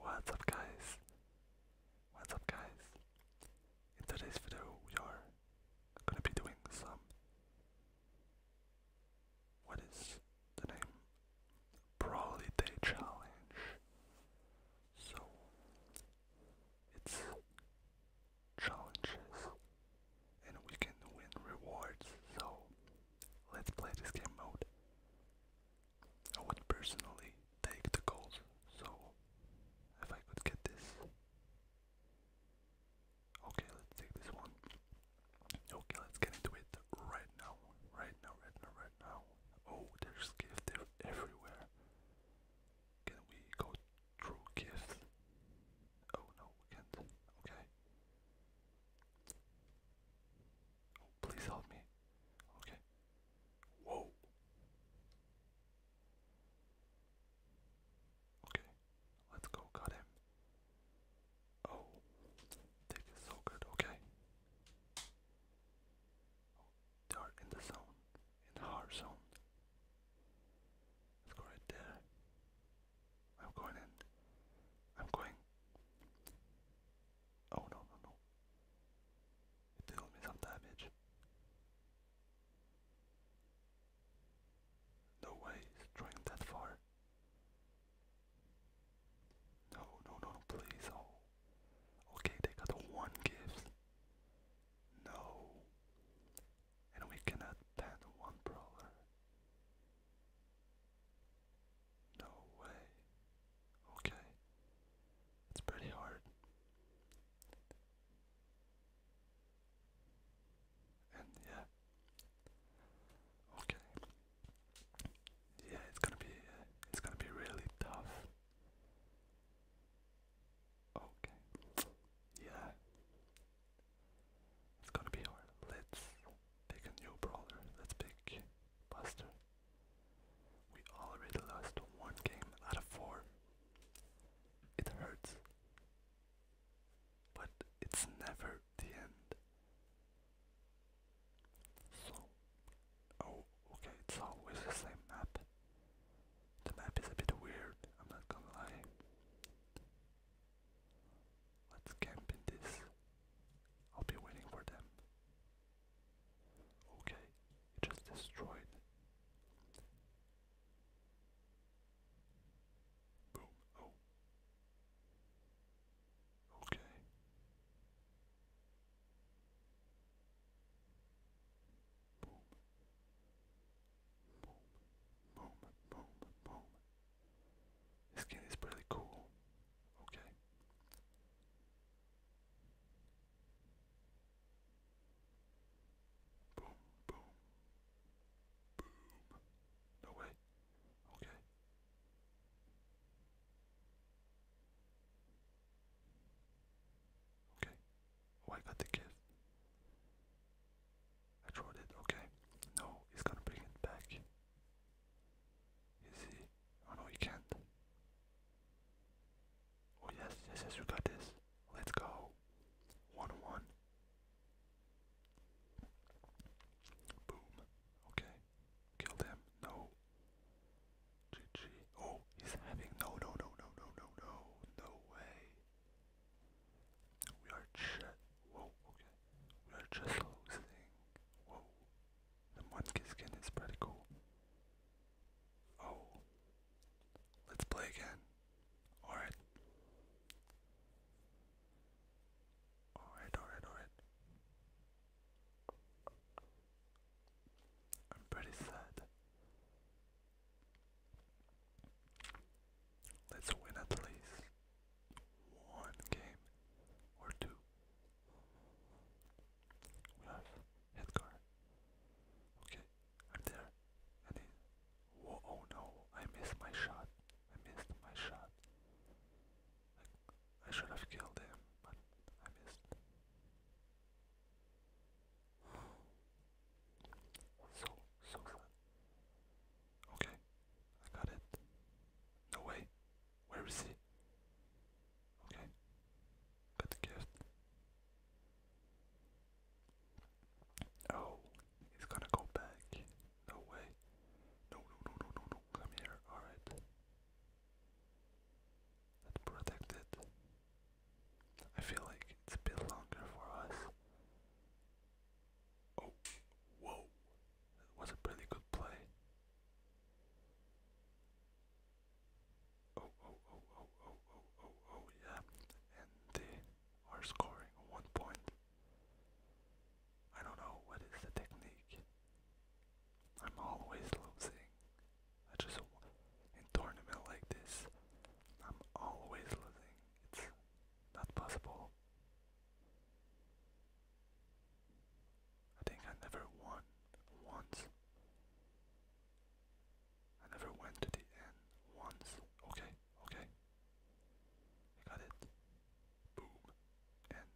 What's up guys? What's up guys? In today's video we are gonna be doing some what is the name? Brawly Day Challenge. So it's challenges and we can win rewards so let's play this game mode. I would personally take the gold, so if I could get this. Okay, let's take this one. Okay, let's get into it right now. Right now, right now, right now. Oh, there's gifts everywhere. Can we go through gifts? Oh no, we can't. Okay please help me. Okay. Whoa. Okay. Let's go. Got him. Oh. This is so good. Okay. they are in the zone. In our zone. Let's there. I'm going in. I'm going. Oh no no no. It threw me some damage. No way he's throwing that far. No no no no please oh okay they got one gift. No and we cannot ban one brawler. No way. Okay. It's pretty hard. And yeah. Okay. Yeah, it's gonna be uh, it's gonna be really tough. Okay. Yeah. It's gonna be hard. Let's pick a new brawler. Let's pick Buster. We already lost one game out of four. It hurts. But it's never the end. So. Oh, okay, it's always the same map. The map is a bit weird, I'm not gonna lie. Let's camp in this. I'll be waiting for them. Okay, it just destroyed. Boom. Oh. Okay. Boom. Boom. Boom. Boom. Boom. This skin is pretty cool. Okay. Boom, boom, boom. No way. Okay. Okay. Oh, I got the gift. I tried it, okay. No, he's gonna bring it back. Is he? Oh no, he can't. Oh yes, yes, yes, we got this. Let's go. 1 1. Boom. Okay. Killed him. No. GG. Oh, he's having. No, no, no, no, no, no, no. No way. We are just whoa, okay. We are just losing. Whoa. The monkey skin is pretty cool. Oh. Let's play again. Alright. Alright, alright, alright. I'm pretty sad. Let's win at least one game or two. We have Edgar. Okay, i there. I oh no, I missed my shot. I missed my shot. I should have killed him, but I missed. So, so sad. Okay, I got it. No way. Where is he? Okay, got gift. Oh, he's gonna go back. No way. No, no, no, no, no, no. Come here. Alright. Let's protect it. I feel like it's a bit longer for us. Oh, whoa. That was a pretty good play. Oh, oh, oh, oh, oh, oh, oh, oh, oh, yeah. And they are scoring one point. I don't know what is the technique. I'm always losing. I just, in tournament like this, I'm always losing. It's not possible. I think I never won once. I never went to the end once. Okay, okay. I got it. Boom. And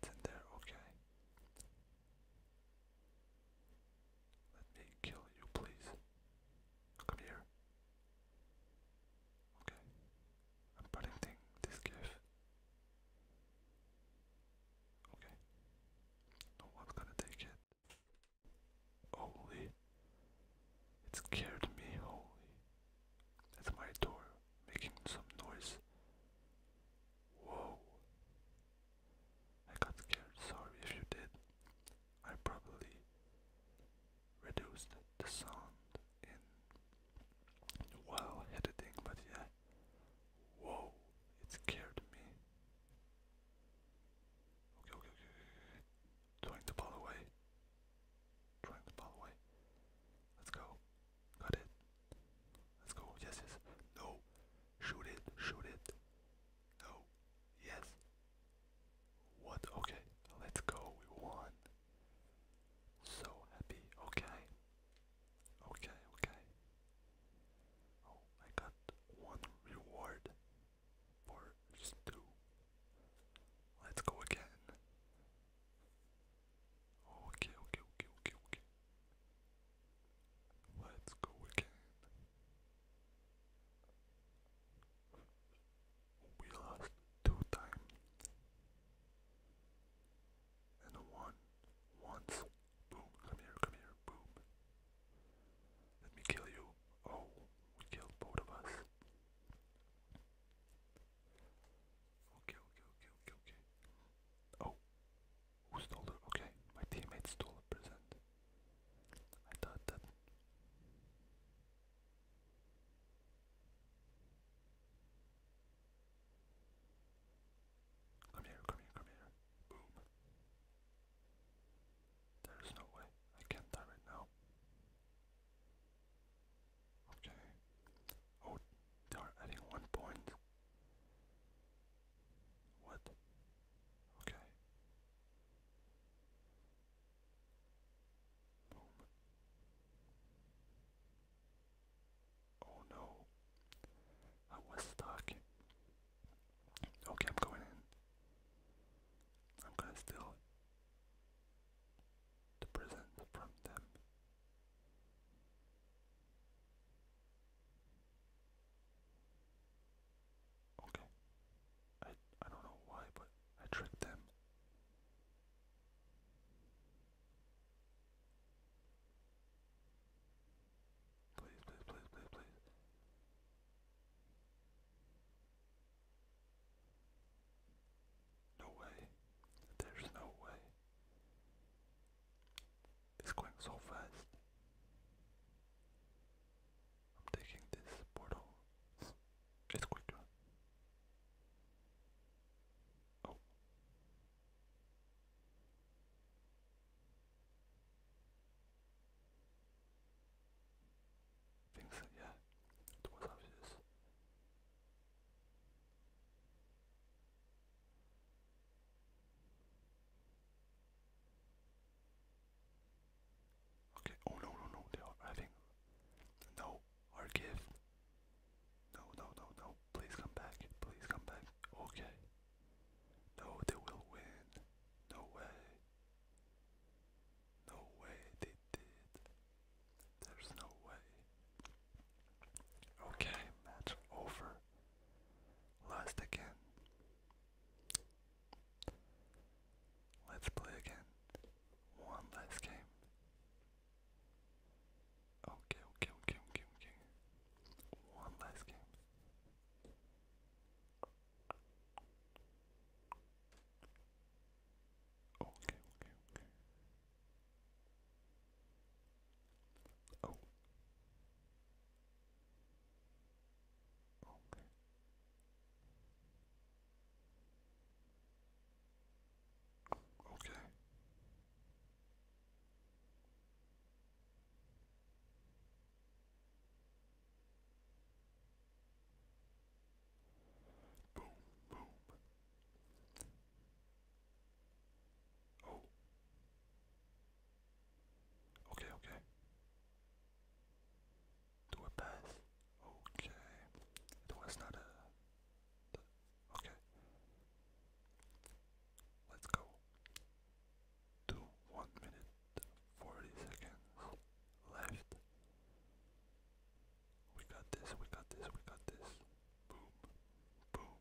it's in there, okay. Let me kill you, please. Come here. Okay. I'm protecting this cave. Okay. No one's gonna take it. Holy. It scared me, holy. That's my door making some noise. Whoa. I got scared. Sorry if you did. I probably reduced the sound in while editing, but yeah. Whoa, it scared me. Okay, okay, okay, okay. Throwing the ball away. Throwing the ball away. Let's go. Got it. Let's go. Yes, yes. No. Shoot it, shoot it. No. Yes. What? Okay, let's go. We won. So happy. Okay. Okay, okay. Oh, I got one reward for two. Let's go again. Okay, okay, okay, okay, okay. Let's go again. We lost two times. And one once. Boom, come here, come here, boom. Let me kill you. Oh, we killed both of us. Okay, okay, okay, okay, okay. Oh, who stole it? Okay, my teammates stole it. present. I thought that. Come here, come here, come here. Boom. There is no way. I can't die right now. Okay. Oh, they are adding one point. What? Okay. Oh no. I was stuck. Okay, I'm going in. I'm gonna steal the present from them. Okay. I I don't know why, but I tricked them. Please, please, please, please, please. No way. There's no way. It's going so fast. I'm taking this portal. It's quicker. Oh. Things, yeah, it was obvious. Okay, oh no, no, no, they are arriving. No, our gift. No, no, no, no, please come back, please come back. Okay. No, they will win. No way. No way, they did. There's no way. Okay, match over. Lost again. Let's play again. One last game. Okay, okay, okay, okay, okay. One last game. Okay, okay, okay. Oh. Okay. Okay. Boom, boom. Oh. Okay, okay. Do a pass. Okay. It was Okay. Let's go. To one minute forty seconds left. We got this, we got this, we got this. Boom. Boom.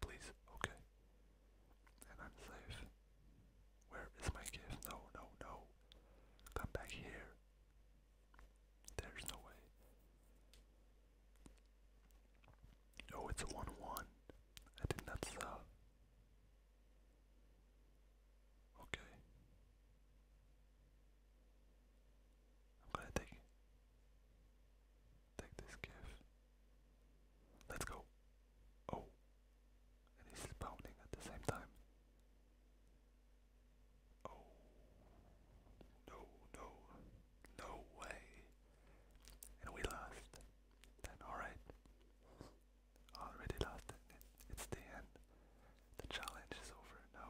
Please. Okay. And I'm safe. Where is my gift? No, no, no. Come back here. There's no way. Oh, it's a 1 1. I did not saw. Okay. I'm gonna take take this gift. Let's go. Oh, and he's pounding at the same time. Oh, no, no, no way. And we lost. Then alright. Already lost. it's the end. The challenge is over. No,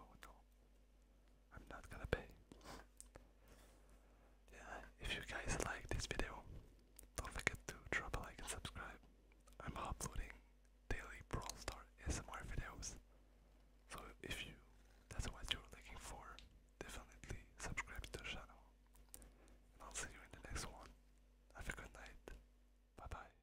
I'm not gonna pay. yeah, if you guys like this video, don't forget to drop a like and subscribe. I'm uploading daily Brawl Star SMR videos. So if you that's what you're looking for, definitely subscribe to the channel. And I'll see you in the next one. Have a good night. Bye bye.